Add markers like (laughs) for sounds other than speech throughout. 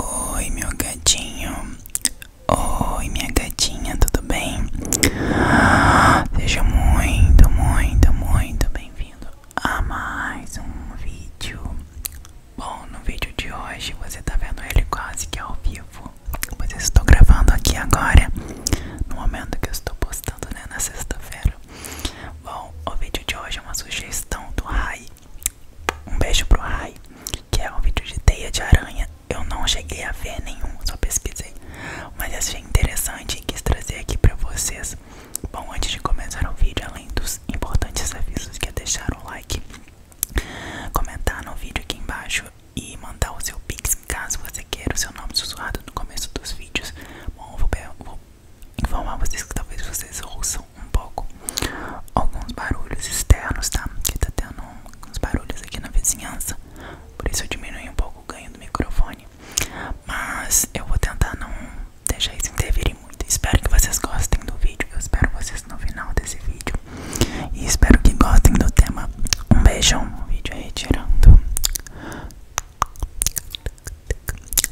Oi, meu gatinho. Oi, minha gatinha, tudo bem? Seja muito, muito, muito bem-vindo a mais um vídeo. Bom, no vídeo de hoje você está vendo ele quase que ao vivo. mas estou gravando aqui agora, no momento que estou postando, né, na sexta-feira. Bom, o vídeo de hoje é uma sugestão do Rai um beijo pro Rai, que é um vídeo de teia de aranha. Eu não cheguei a ver nenhum, só pesquisei. Mas achei interessante e quis trazer aqui pra vocês. Bom, antes de começar o vídeo, além dos importantes avisos que é deixar o like, comentar no vídeo aqui embaixo e mandar o seu pix caso você queira o seu nome sussurrado no começo dos vídeos. Bom, eu vou, vou informar vocês que talvez vocês ouçam um pouco alguns barulhos externos, tá? Que tá tendo uns barulhos aqui na vizinhança, por isso eu diminui um pouco o ganho do microfone. Mas eu vou tentar não deixar isso interferir muito. Espero que vocês gostem do vídeo. Eu espero vocês no final desse vídeo. E espero que gostem do tema. Um beijão. O vídeo aí é tirando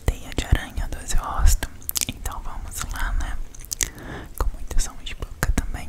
teia de aranha do seu rosto. Então vamos lá, né? Com muito som de boca também.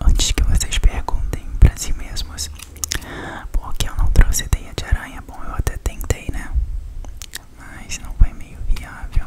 Antes que vocês perguntem pra si mesmos porque eu não trouxe teia de aranha, bom, eu até tentei, né? Mas não foi meio viável.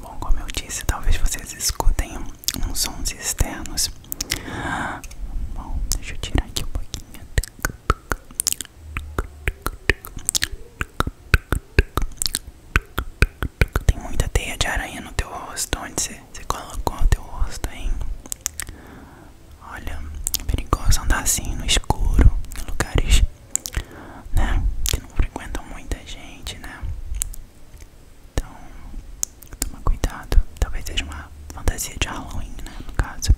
Bom, como eu disse, talvez vocês escutem uns sons externos. Bom, deixa eu tirar aqui um pouquinho. Tem muita teia de aranha no teu rosto. Onde você, você colocou o teu rosto, hein? Olha, é perigoso andar assim no escuro, em lugares né, que não frequentam muita gente, né? Então, Toma cuidado, talvez seja uma fantasia de Halloween, né? No caso.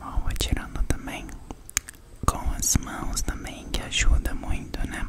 Vou atirando também com as mãos também, que ajuda muito, né?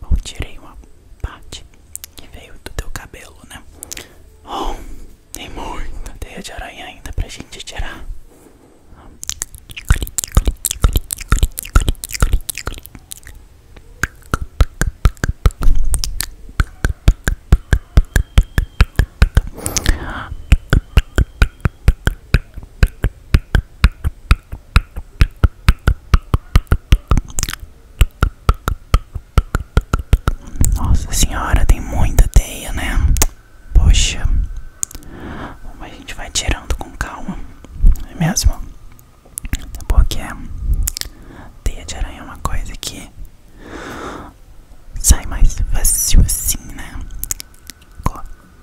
Bom, tirei uma parte que veio do teu cabelo, né? Oh, tem muita teia de aranha ainda pra gente tirar. Nossa senhora, tem muita teia, né? Poxa, mas a gente vai tirando com calma, não é mesmo? Porque teia de aranha é uma coisa que sai mais fácil assim, né?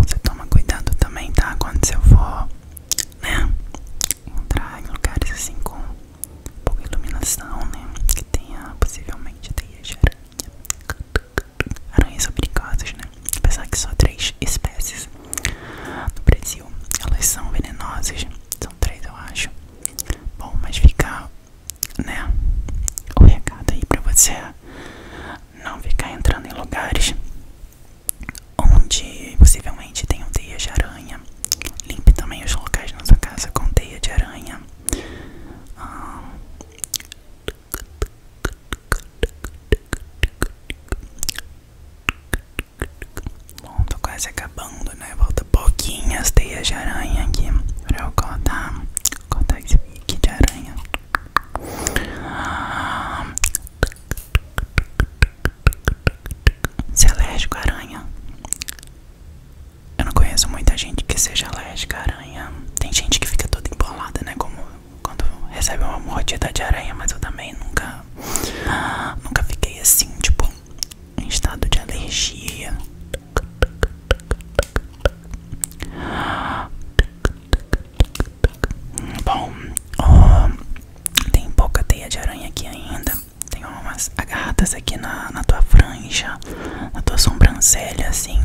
você toma cuidado também, tá? Quando você for, né? Entrar em lugares assim com pouca iluminação, né? Que tenha possivelmente teia de aranha. Aranhas são perigosas, né? Apesar que só três espécies no Brasil, elas são venenosas. São três, eu acho. Bom, mas fica, né? O recado aí pra você não ficar entrando em lugares onde possivelmente tenham teia de aranha. Limpe também os locais na sua casa com teia de aranha. Ah, Bom, tô quase acabando, né? Volta pouquinhas teias de aranha aqui pra eu cortar. Cortar esse pique de aranha. Ah. alérgico aranha? Eu não conheço muita gente que seja alérgica aranha. Tem gente que fica toda embolada, né? Como quando recebe uma mordida de aranha, mas eu também nunca ah, nunca fiquei assim, tipo, em estado de alergia. Bom, ah, tem pouca teia de aranha aqui ainda. Tem umas agarradas aqui na, tua franja, na tua sobrancelha, assim.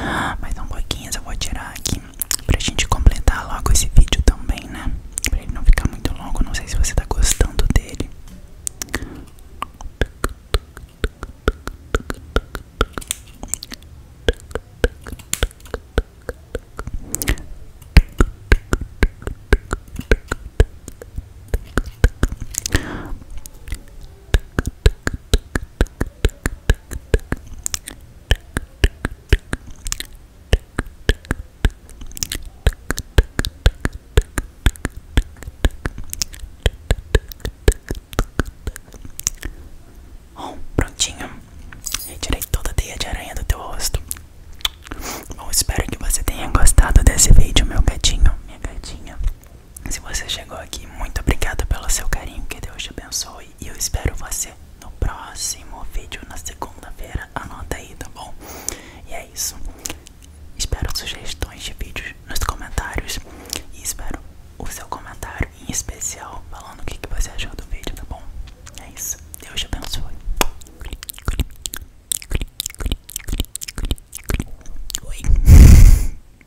Ah, mas um pouquinho eu vou tirar aqui pra gente completar logo esse vídeo também, né? Pra ele não ficar muito longo, não sei se você tá gostando dele. Bom, prontinho. Retirei toda a teia de aranha do teu rosto. Bom, espero que você tenha gostado desse vídeo, meu gatinho, minha gatinha. Se você chegou aqui, muito obrigado pelo seu carinho, que Deus te abençoe. E eu espero você no próximo vídeo, na segunda-feira. Anota aí, tá bom? E é isso. Espero sugestões de vídeos nos comentários. E espero o seu comentário em especial, falando o que, você achou do vídeo, tá bom? É isso. Deus te abençoe. Oi. (laughs)